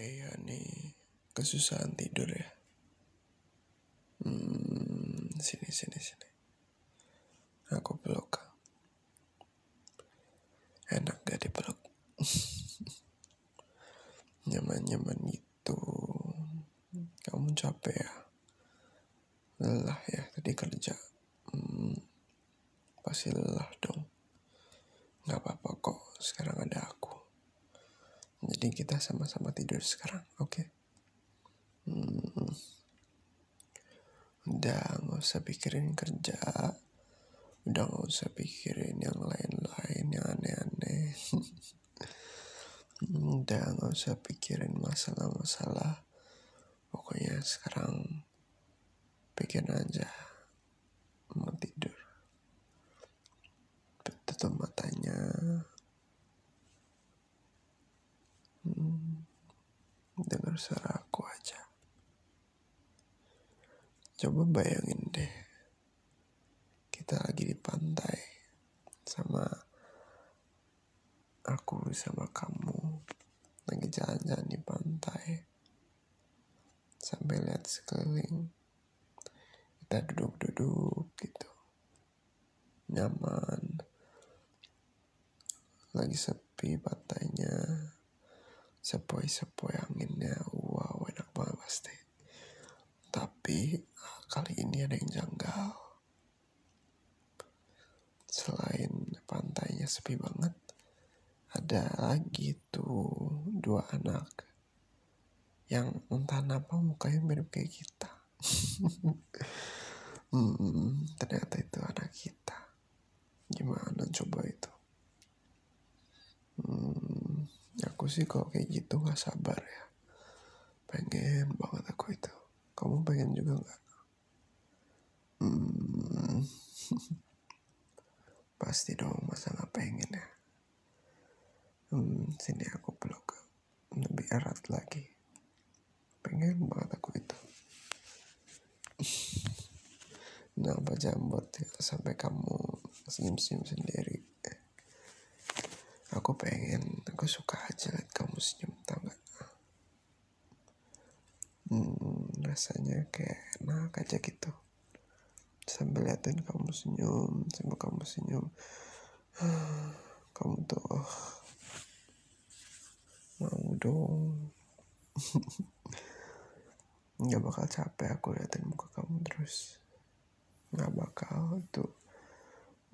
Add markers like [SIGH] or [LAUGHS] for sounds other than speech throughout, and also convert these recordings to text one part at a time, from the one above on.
Iya nih, kesusahan tidur ya. Hmm, sini sini sini. Aku peluk. Enak gak dipeluk? [LAUGHS] Nyaman-nyaman gitu gitu kamu capek ya lelah ya tadi kerja hmm, pasti lelah dong nggak apa-apa kok sekarang ada aku jadi kita sama-sama tidur sekarang oke okay? hmm, udah nggak usah pikirin kerja udah nggak usah pikirin yang lain-lain yang aneh-aneh [LAUGHS] udah nggak usah pikirin masalah-masalah pokoknya sekarang pikir aja mau tidur tutup matanya hmm, dengar suara aku aja coba bayangin deh kita lagi di pantai sama aku sama kamu lagi jalan-jalan di pantai sambil lihat sekeliling kita duduk-duduk gitu nyaman lagi sepi pantainya sepoi-sepoi anginnya wow enak banget pasti tapi kali ini ada yang janggal selain pantainya sepi banget ada lagi tuh dua anak yang entah oh, apa mukanya mirip kayak kita [LAUGHS] hmm, ternyata itu anak kita gimana coba itu Hmm, aku sih kalau kayak gitu nggak sabar ya. Pengen banget aku itu. Kamu pengen juga nggak? Hmm, [LAUGHS] pasti dong masa nggak pengen ya. Hmm, sini aku peluk lebih erat lagi. Pengen banget aku itu. Kenapa jambot ya sampai kamu senyum-senyum sendiri? Aku pengen, aku suka aja liat kamu senyum, tau gak? Hmm, rasanya kayak enak aja gitu. Sambil liatin kamu senyum, sambil kamu senyum. [SIGHS] Kamu tuh, oh, mau dong [LAUGHS] nggak bakal capek aku liatin muka kamu terus nggak bakal tuh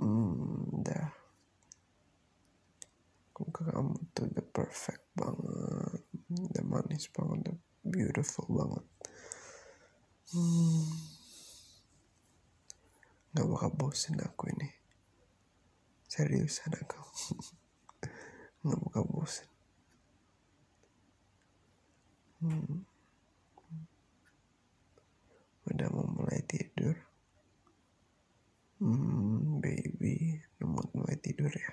hmm dah muka kamu tuh the perfect banget the manis banget the beautiful banget hmm nggak bakal bosen aku ini seriusan aku nggak buka bosan hmm. udah mau mulai tidur hmm, baby udah mau mulai tidur ya?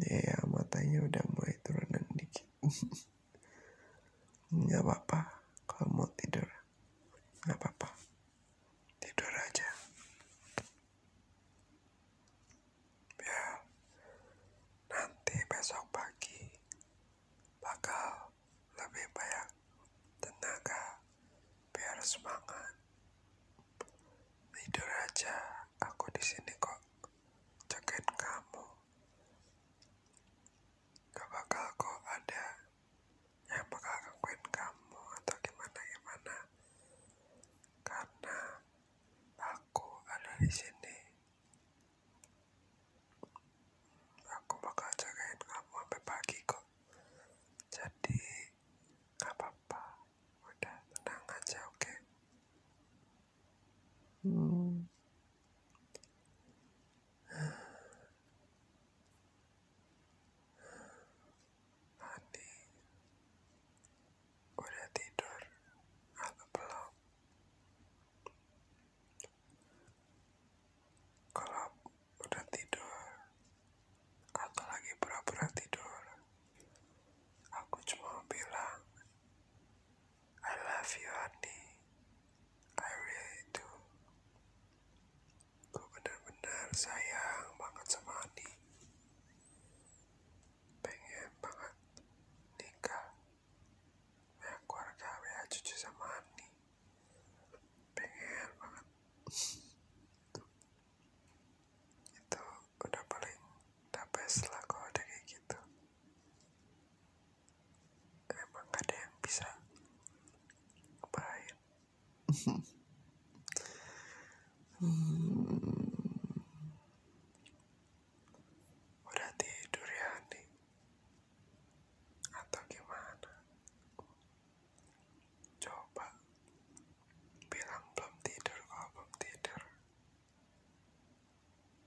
ya ya matanya udah mulai turunan dikit [LAUGHS] nggak apa-apa kalau mau tidur gak apa-apa tidur aja ya nanti besok pagi bakal lebih banyak tenaga biar semangat tidur aja aku di sini kok jagain kamu gak bakal kok ada yang bakal gangguin kamu atau gimana gimana karena aku ada di sini aku bakal jagain kamu sampai pagi kok jadi gak apa-apa udah tenang aja oke hmm nanti Udah tidur atau ah, belum? Kalau udah tidur atau lagi pura-pura tidur, aku cuma bilang I love you honey I really do Gue benar bener sayang banget sama honey Pengen banget nikah Punya keluarga, punya cucu sama honey Pengen banget Itu udah paling tapi best lah kalau ada kayak gitu emang ada yang bisa ngebahain hmm. udah tidur ya nih atau gimana coba bilang belum tidur kalau belum tidur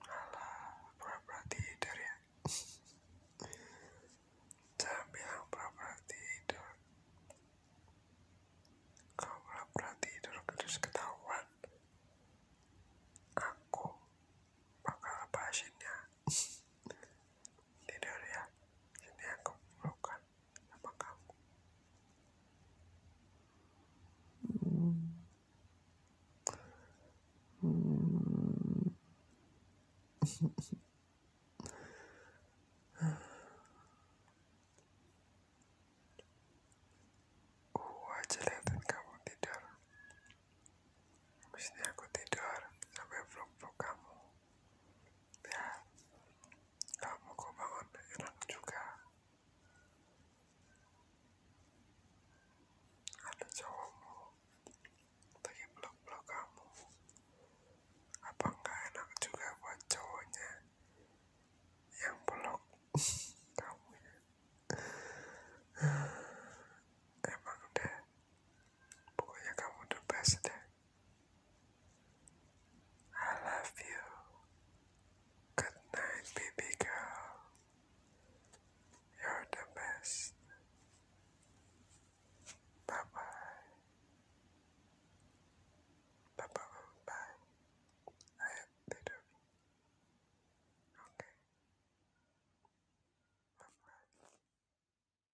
Alah, pura-pura tidur ya. Jangan bilang pura tidur. Kalau pura tidur terus ketahuan, aku bakal apa ya. [LAUGHS] tidur ya. Ini aku pelukan apakah aku hmm. Hmm. aku aja liatin kamu tidur habis ini aku tidur sampai vlog-vlog kamu ya kamu kok bangun enak juga ada cowokmu lagi blok-blok kamu apa enggak enak juga buat cowoknya yang blok [LAUGHS] kamu ya emang deh pokoknya kamu the best deh I love you. Good night, baby girl. You're the best. Bye bye. Bye bye bye. I have little. Okay. Bye bye.